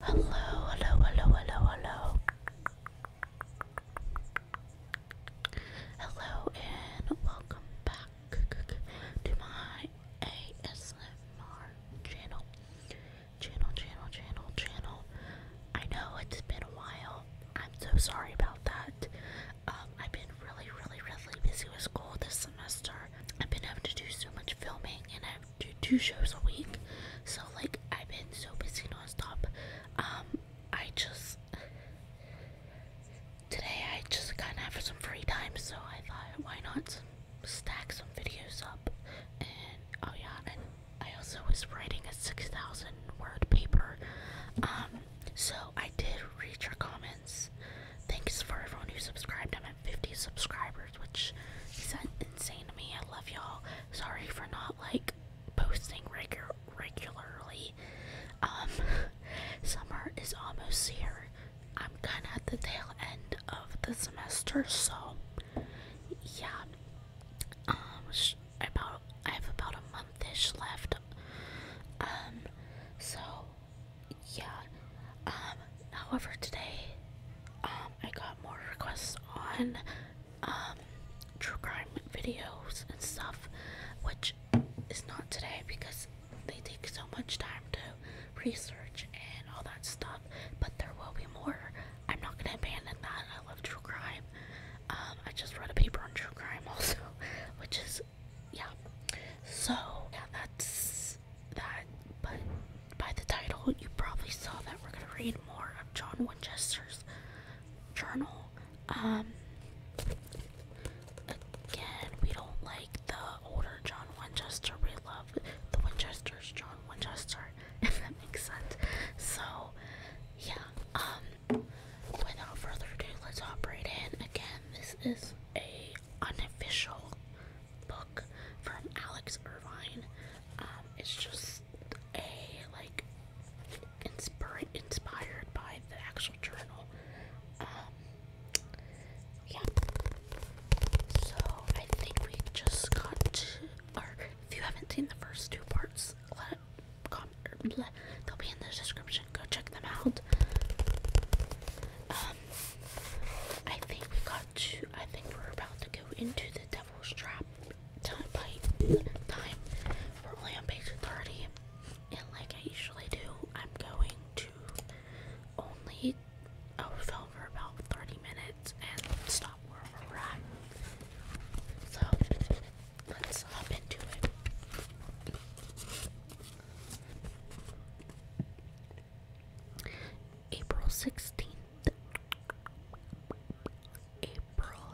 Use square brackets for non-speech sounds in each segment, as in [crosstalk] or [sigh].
Hello, hello, hello, hello, hello. Hello and welcome back to my ASMR channel. Channel, channel, channel, channel. I know it's been a while. I'm so sorry about that. Um, I've been really, really, really busy with school this semester. I've been having to do so much filming and I have to do two shows a week. So like I've been so busy nonstop. Um I just today I just kinda have some free time so I thought why not stack some videos up and oh yeah and I also was writing a six thousand word paper. Um so I did read your comments. Thanks for everyone who subscribed. I'm 50 subscribers, which is insane to me. I love y'all. Sorry for not like posting regu regularly. Um, [laughs] summer is almost here. I'm kind of at the tail end of the semester, so yeah. Um, about I have about a monthish left. Um, so yeah. Um, however, today, um, I got more requests on, um, true crime videos and stuff, which is not today because they take so much time to research and all that stuff, but there will be more. I'm not gonna abandon that. I love true crime. I just wrote a paper on true crime [laughs] also, which is yeah. So yeah, that's that. But by the title, you probably saw that we're gonna read more of John Winchester's journal. Um, again, we don't like the older John Winchester. We love the Winchester's John Winchester, [laughs] if that makes sense. So yeah. Um, without further ado, let's hop right in. Again, this is a unofficial book from Alex Irvine. Um, it's just a like inspired inspired by the actual journal. Um, yeah. So I think we just got to, or if you haven't seen the first two parts, they'll be in the description. Go check them out. Um, I think we got to. I think we're about to go into the Devil's Trap time. Time. We're only on page thirty, and like I usually do, I'm going to only oh film for about thirty minutes and stop wherever we're at. So let's hop into it. April 16th. April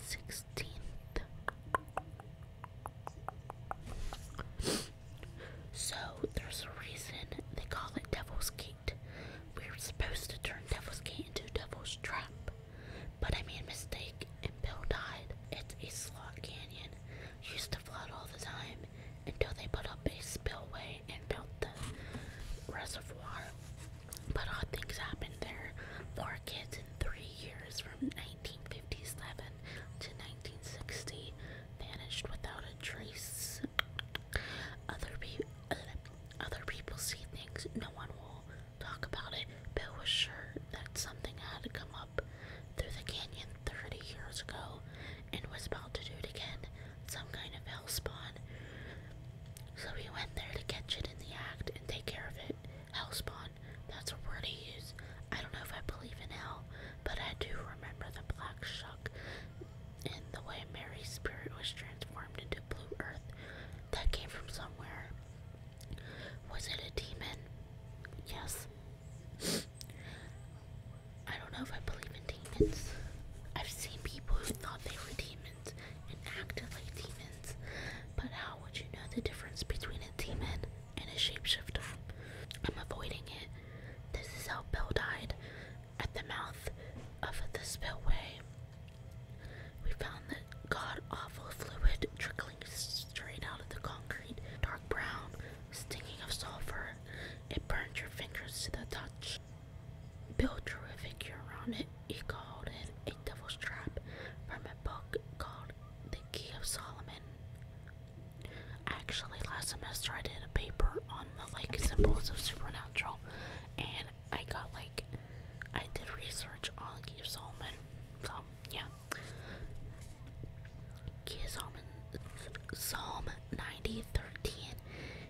16th. So there's a reason they call it Devil's Gate. We were supposed to turn Devil's Gate into Devil's Trap, but I made a mistake and Bill died. It's a slot canyon used to flood all the time until they put up a spillway and built the reservoir. But odd things happened there. Four kids in three years from 1957 to 1960 vanished without a trace. Other, pe uh, other people see things, no one will talk about it. Bill was sure that something had come up through the canyon 30 years ago and was about to do it again, some kind of hell spawn. So he went there to catch it in the act and take care of it. Hell spawn, that's a word he use. I don't know if I believe in hell, but I do remember the black shuck and the way Mary's spirit was transformed into blue earth that came from somewhere. Was it a demon? Yes. I don't know if I believe in demons. I've seen people who thought they were demons and acted like demons, but how would you know the difference between a demon and a shapeshifter? I'm avoiding it. This is how Bill died at the mouth of the spillway. We found that god awful fluid trickling trickling straight out of the concrete, dark brown, stinking of sulfur. It burned your fingers to the touch. Bill Terrific, you're on it. He called it a devil's trap from a book called The Key of Solomon. Actually, last semester I did a paper on the like symbols of supernatural, and I got like I did research on the Key of Solomon. So yeah. Kia Psalm, Psalm 90 13.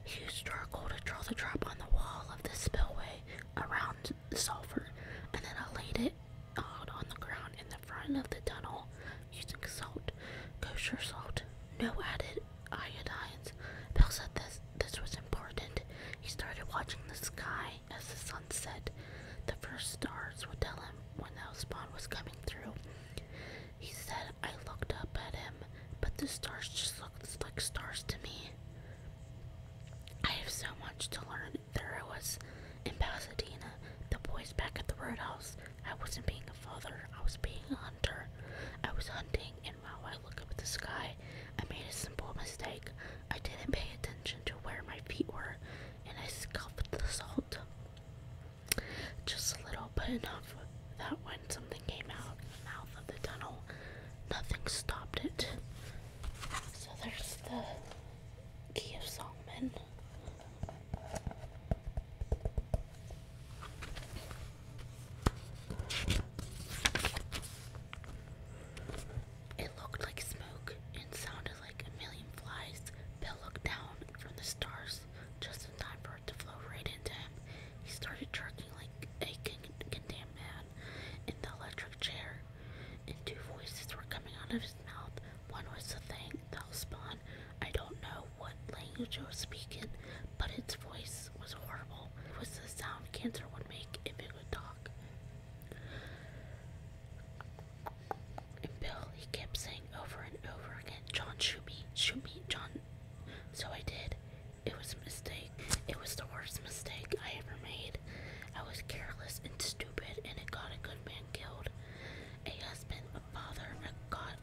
He used to draw the drop on the wall of the spillway around the sulfur, and then I laid it out on the ground in the front of the tunnel using salt, kosher salt, no added iodines. Bill said this this was important. He started watching the sky as the sun set. The first stars would tell him when the spawn was coming through. He said, I looked up at him, but the stars just looked like stars to me. I have so much to learn. There I was in Pasadena, the boys back at the roadhouse. I wasn't being a father, I was being a hunter. I was hunting, and while I looked up at the sky, I made a simple mistake. I didn't pay attention to where my feet were, and I scuffed the salt. Just a little, but enough that when something came out of the mouth of the tunnel, nothing stopped it. So there's the Key It looked like smoke and sounded like a million flies. Bill looked down from the stars just in time for it to flow right into him. He started jerking like a condemned man in the electric chair, and two voices were coming out of his mouth. One was the thing that'll spawn. I don't know what language it was speaking, but its voice was horrible. It was the sound cancer would make if it would talk. And Bill, he kept saying over and over again, John, shoot me, shoot me, John. So I did. It was a mistake. It was the worst mistake I ever made. I was careless and stupid, and it got a good man killed. A husband, a father, a god,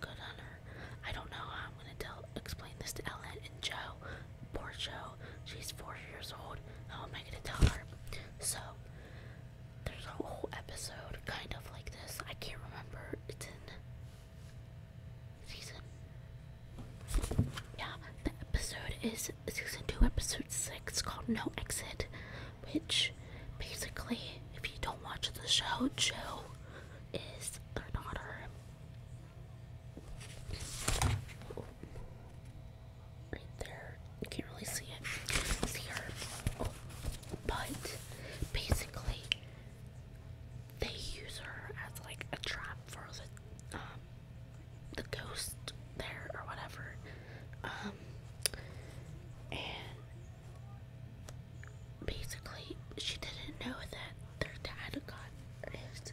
good hunter. I don't know how I'm gonna tell, explain this to Ellen and Joe, Poor Joe. She's four years old. How am I gonna tell her? So there's a whole episode kind of like this. I can't remember. It's in season. Yeah, the episode is season two, episode six, called No Exit, which basically, if you don't watch the show, Joe is their daughter right there. You can't really see it. See her. Oh. But basically, they use her as like a trap for the um, the ghost there or whatever. Um, and basically she didn't know that their dad got his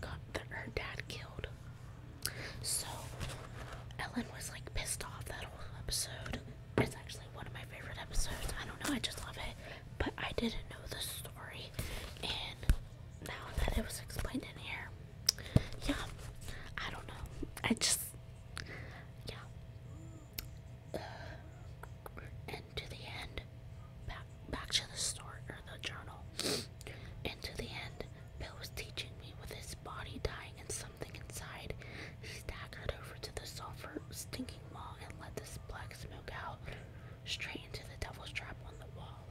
got her dad killed. So Ellen was like pissed off that whole episode. It's actually one of my favorite episodes. I don't know, I just love it. But I didn't know the story, and now that it was explained in here, yeah, I don't know. I just, yeah. Uh, to the end, back back to the store or the journal. and to the end, Bill was teaching me with his body dying and something inside. He staggered over to the sulfur stinking wall and let this black smoke out straight into the devil's trap on the wall.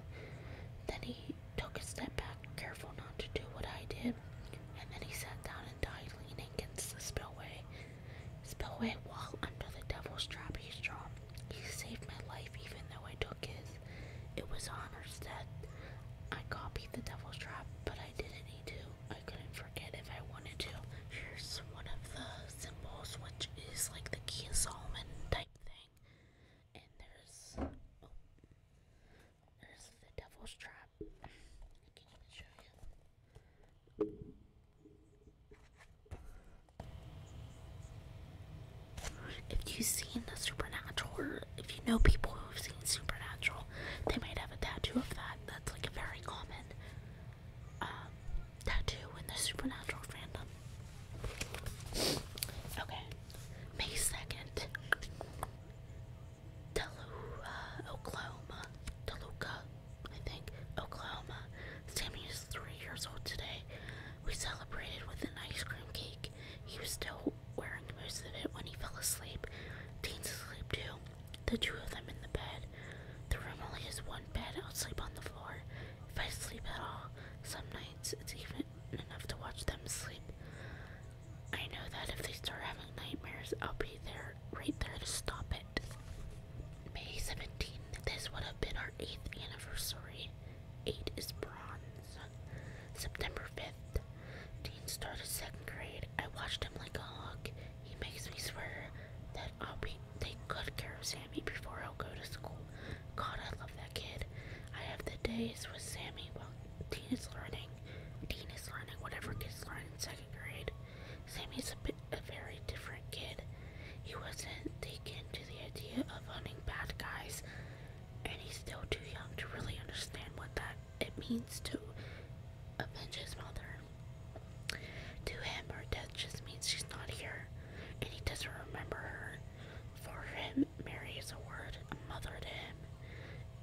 Then he took a step back, careful not to do what I did, and then he sat down and died leaning against the spillway. Spillway wall under the devil's trap he dropped. He saved my life even though I took his. It was honor's death. I copied the devil's trap, but I didn't need to. I couldn't forget if I wanted to. Here's one of the symbols, which is like the key of Solomon type thing. And there's oh, there's the devil's trap. I can even show you. If you've seen the Supernatural, or if you know people who've seen Supernatural, they might have a tattoo of that. That's like a very common um, tattoo in the Supernatural fandom. Okay, May 2nd, Toluca, uh, Oklahoma, Toluca, I think, Oklahoma. Sammy is three years old today. We celebrated with an ice cream cake. He was still wearing most of it when he fell asleep. Dean's asleep too. The two of them in the bed. The room only has one bed. I'll sleep on the floor. If I sleep at all, some nights it's even enough to watch them sleep. I know that if they start having nightmares, I'll be there, right there to stop it. May 17th, this would have been our 8th anniversary. 8 is bronze. September 5th, Dean started second grade. I watched him like a hawk. He makes me swear that I'll be take good care of Sammy before i go to school. God, I love that kid. I have the days with Sammy while Dean is learning. Dean is learning whatever kids learn in second grade. Sammy's a bit a very different kid. He wasn't taken to the idea of hunting bad guys, and he's still too young to really understand what that it means to avenge his mother. To him, her death just means she's not here, and he doesn't remember her. For him, Mary is a word, a mother to him.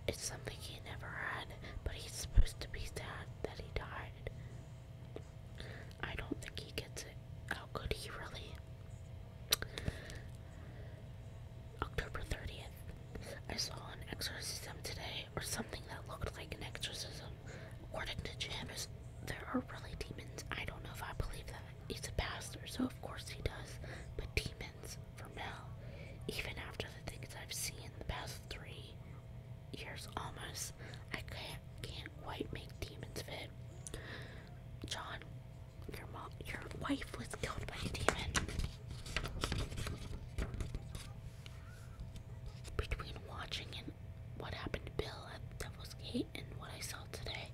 It's something he never had, but he's supposed to be sad that he died. I don't think he gets it. How could he really? October 30th. I saw an exorcism today, or something that looked like an exorcism. According to James, there are really demons. I don't know if I believe that. He's a pastor, so of course he does. But demons, for Mel, even after the things I've seen in the past three years almost, I can't quite make demons fit. John, your mom, your wife was killed by a demon. Between watching and what happened to Bill at Devil's Gate and what I saw today,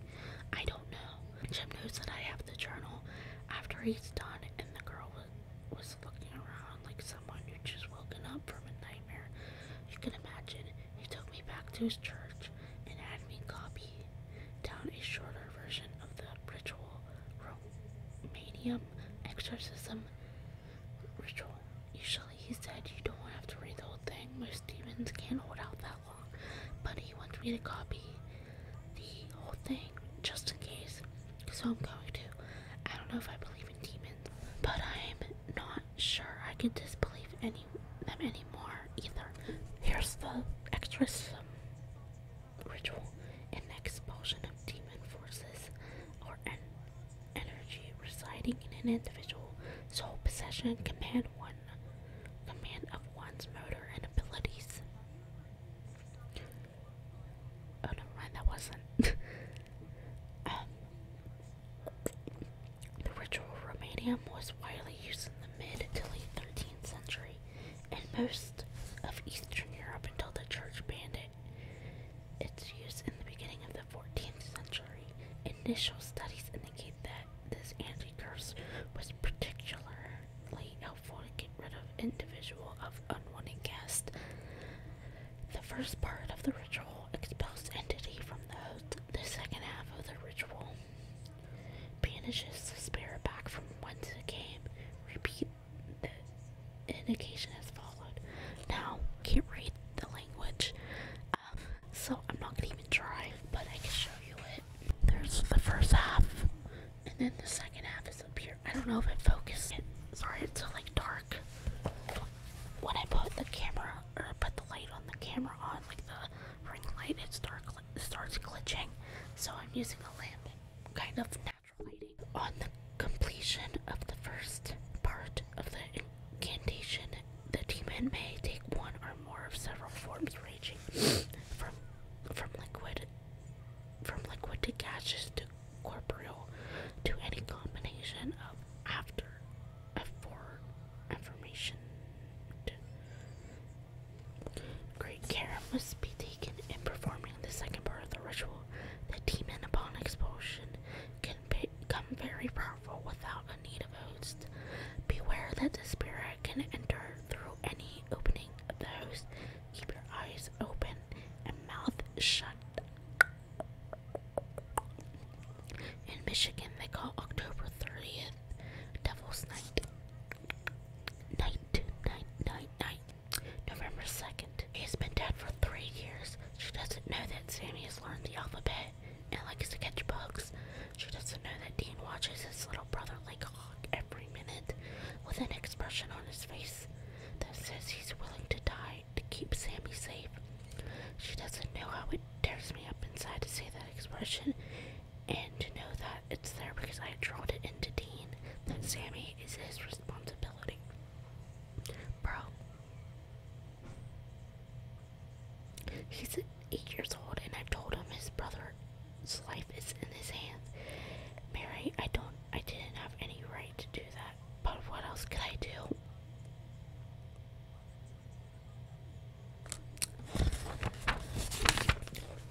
I don't know. Jim knows that I have the journal. After he's done, and the girl was, was looking around like someone who just woken up from a nightmare you can imagine. He took me back to his church and had me copy down a shorter version of the ritual Romanium exorcism ritual. Usually, he said, you don't have to read the whole thing, most demons can't hold out that long, but he wants me to copy the whole thing just in case, so I'm going to. I don't know if I believe in demons, but I'm not sure I could disbelieve any them anymore either. Here's the extra ritual: and expulsion of demon forces or an energy residing in an individual. Sole possession, command one, command of one's motor and abilities. Oh, never mind, that wasn't. [laughs] Um, the ritual romanium was widely used in the mid to late 13th century in most of Eastern Europe until the church banned it. Its use in the beginning of the 14th century. Initial studies indicate that this anti-curse was particularly helpful to get rid of individual of unwanted guests. The first part of the ritual expels entity from the host. The second half of the ritual banishes the spirit back from whence it came. Repeat the indication as followed. Now, can't read the language, um, so I'm not gonna even try, but I can show you it. There's the first half, and then the second half is up here. I don't know if it focused. Sorry, it's so like dark when I put the camera or put the light on the camera on, like the ring light, it start starts glitching. So I'm using a lamp, kind of natural lighting. On the completion of the first part of the incantation, the demon may take one or more of several forms, ranging from from liquid from liquid to gaseous to corporeal to any combination of after for information. Great care must be taken in performing the second part of the ritual. The demon upon expulsion can become very powerful without a need of host. Beware that the spirit can enter through any opening of the host. Keep your eyes open and mouth shut. In Michigan, they call October 30th Devil's Night. Night, night, night, night. November 2nd. He's been dead for three years. She doesn't know that Sammy has learned the alphabet and likes to catch bugs. She doesn't know that Dean watches his little brother like a hawk every minute with an expression on his face that says he's willing to die to keep Sammy safe. She doesn't know how it tears me up inside to see that expression and to know that it's there because I drilled it into Dean that Sammy is his responsibility. Bro. He's eight years old and i told him his brother's life is in his hands. Mary, I don't I didn't have any right to do that but what else could I do?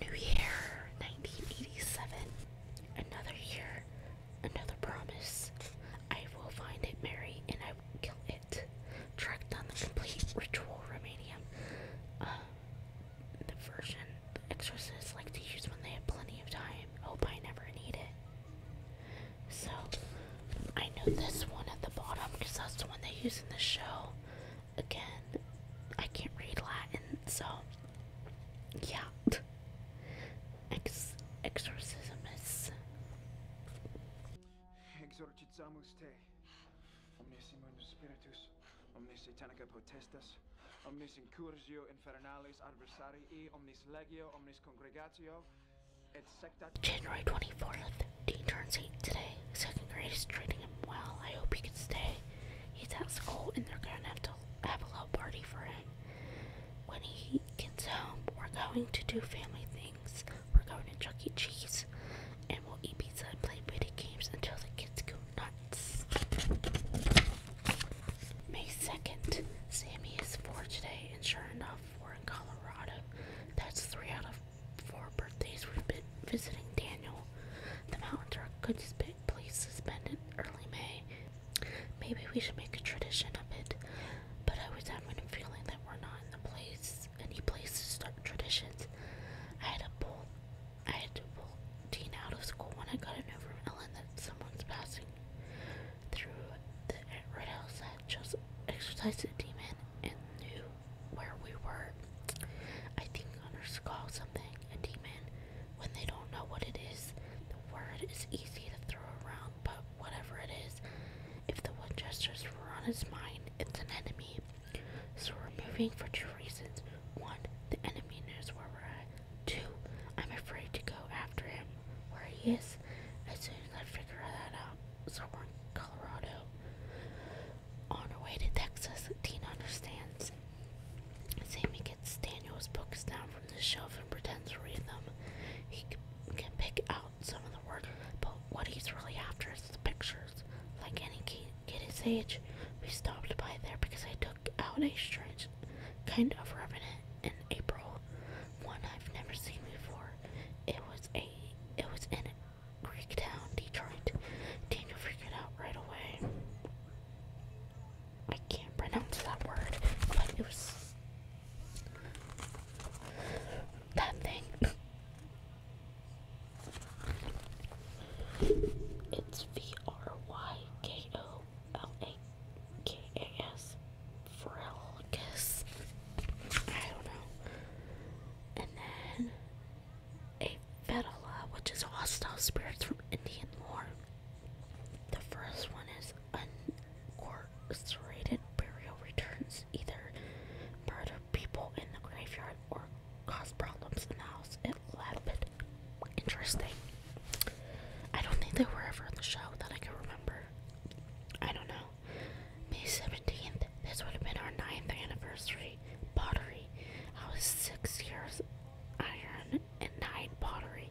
New Year 1987. Another year, another promise. I will find it, Mary, and I will kill it. Track down the complete ritual remedium. Uh, the version exorcists like to use when they have plenty of time. Hope I never need it. So I know this one at the bottom because that's the one they use in the show. Again, I can't read Latin, so yeah. Ex exorcismus. Exorcizamus te. Omnes in spiritus, omnes satanica potestas, omnes incursio infernalis adversarii omnis legio omnis congregatio January 24th, D turns 8 today. Second grade is treating him well. I hope he can stay. He's at school and they're gonna have to have a little party for him. When he gets home, we're going to do family things. We're going to Chuck E. Cheese and we'll eat pizza and play video games until the kids go nuts. May 2nd, Sammy is four today, and sure enough, we're in Colorado. That's three out of four birthdays we've been visiting Daniel. The mountains are a good place to spend it early May. Maybe we should make a tradition of it, but I was having a feeling that we're not in the place, any place to start traditions. I had a bull, I had to pull Dean out of school when I got a note from Ellen that someone's passing through the red house that just exercised a demon and knew where we were. I think hunters call something a demon when they don't know what it is. The word is easy to throw around, but whatever it is, if the Winchesters were on his mind, it's an enemy. So we're moving for two reasons. One, the enemy knows where we're at, Two, I'm afraid to go after him where he is as soon as I figure that out. So we're in Colorado. On our way to Texas, Tina understands. Sammy gets Daniel's books down from the shelf and pretends to read them. He can pick out some of the words, but what he's really after is the pictures. Like any kid his age, we stopped by there because I took out a strange kind of revenant in April, one I've never seen before. It was a it was in a Greek town, Detroit. Daniel figured out right away. I can't pronounce that word, but it was that thing. It's V R Y K O L A K-A-S, Frelgus, I don't know, and then a Vedala, which is hostile spirits from Indian lore. The first one is uncorroborated burial returns, either murder people in the graveyard or cause problems in the house at Lapid. Interesting. I don't think they were ever on the show that I can remember. I don't know. May 17th, this would have been our ninth anniversary. Pottery. I was 6 years iron and 9 pottery.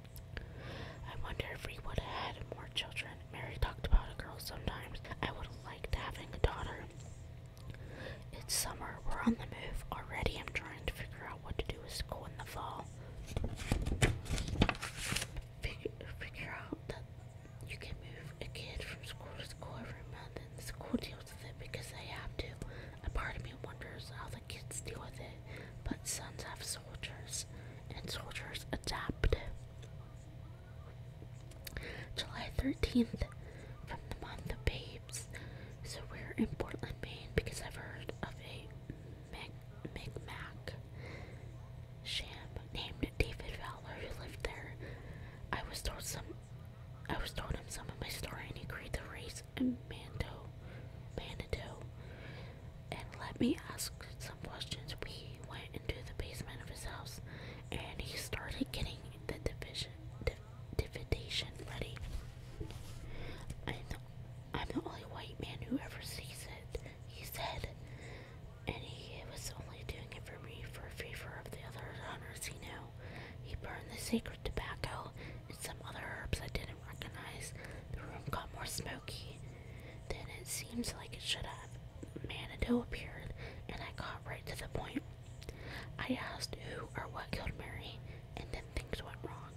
I wonder if we would have had more children. Mary talked about a girl sometimes. I would have liked having a daughter. It's summer, we're on the move already. I'm trying to figure out what to do with school in the fall. Figure, figure out that you can move a kid from school to school every month and the school deals with it because they have to. A part of me wonders how the kids deal with it, but sons have soldiers and soldiers adapt. July 13th, from the month of Bay so we're in Portland, Maine because I've heard of a Mic Micmac sham named David Fowler who lived there. I was told some I was told him some of my story and he agreed to race in Mando Manitou and let me ask some questions. We went into the basement of his house and he started getting the division dividation, buddy. I'm the, only white man who ever sees it, he said. And he was only doing it for me for a favor of the other hunters he knew. He burned the sacred tobacco and some other herbs I didn't recognize. The room got more smoky than it seems like it should have. Manado appeared, and I got right to the point. I asked who or what killed Mary and then things went wrong.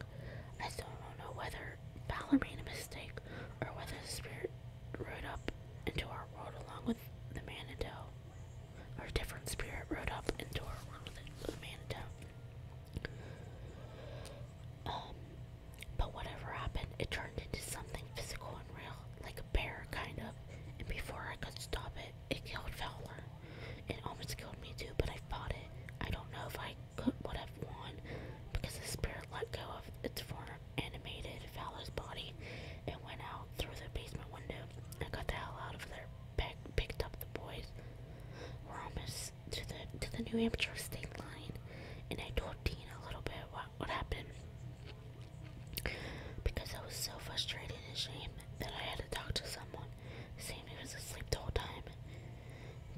I still don't know whether Balor made a mistake or whether the spirit rode up into our world along with the Manito. Or a different spirit rode up into our world with the, the Manito. Um, but whatever happened, it turned into something physical and real, like a bear, kind of. And before I could stop it, it killed Fowler. It almost killed me too, but I fought it. I don't know if I could would have won because the spirit let go of its former animated fellow's body and went out through the basement window. I got the hell out of there, picked up the boys. We're almost to the to the New Hampshire state line, and I talked to Dean a little bit what what happened because I was so frustrated and ashamed that I had to talk to someone. Sammy was asleep the whole time.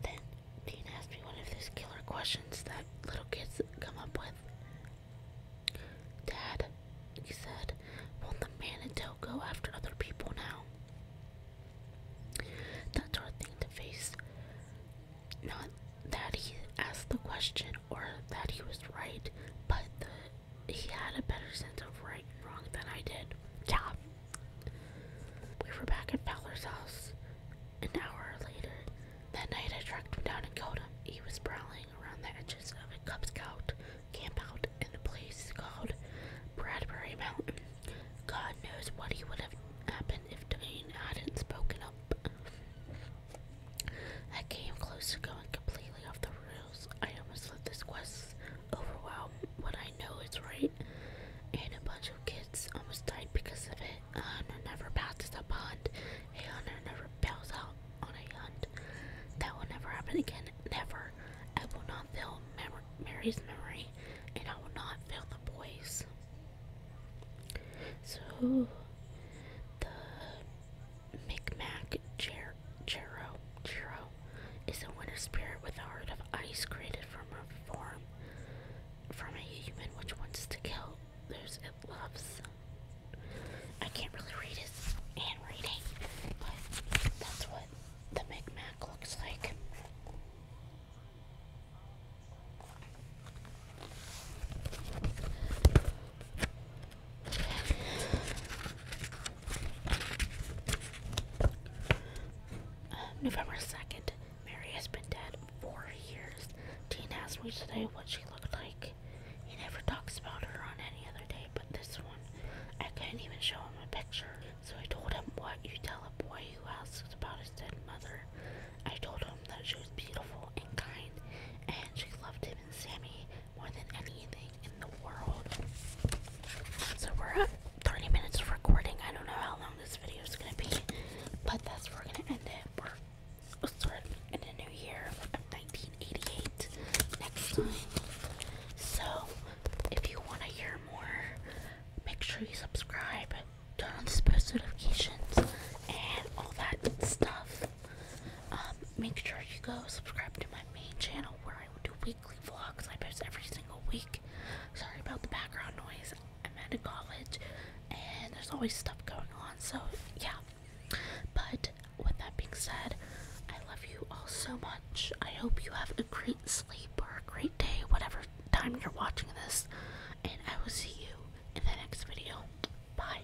Then Dean asked me one of those killer questions that little kids come up with. Dad, he said, won't the Manitou go after other people now? That's our thing to face. Not that he asked the question or that he was right, but the he had a better sense of right and wrong than I did. Yeah. We were back at Fowler's house an hour later. That night I tracked him down and killed him. He was prowling around the edges of a Cub Scout campout in a place called Bradbury Mountain. God knows what he would have happened if Dane hadn't spoken up. I came close to going completely off the rails. I almost let this quest overwhelm what I know it's right, and a bunch of kids almost died because of it. A hunter never passes a pond. A hunter never bails out on a hunt. That will never happen again. Never. I will not fail Mary's memory, and I will not fail the boys. So, the Micmac Jero, Jero, Jero is a winter spirit with a heart of ice created from a form from a human which wants to kill those it loves. I can't really read his handwriting, but that's what the Micmac looks like. November 2nd. Mary has been dead four years. Dean asked me today what she looked like. He never talks about her on any other day but this one. I couldn't even show him a picture, so I told him what you tell a boy who asks about his dead mother. I told him that she was beautiful and kind, and she loved him and Sammy, more than anything in the world. So we're at 30 minutes of recording. I don't know how long this video is gonna be, but that's where we're gonna end it. We're starting in the new year of 1988 next time. So if you wanna hear more, make sure you subscribe, turn on the post notifications, and all that stuff. Um, make sure you go subscribe to my main channel where I do weekly vlogs. I post every single week. Sorry about the background noise. I'm at a college and there's always stuff going on, so yeah. But with that being said, I love you all so much. I hope you have a great sleep or a great day, whatever time you're watching this, and I will see you in the next video. Bye.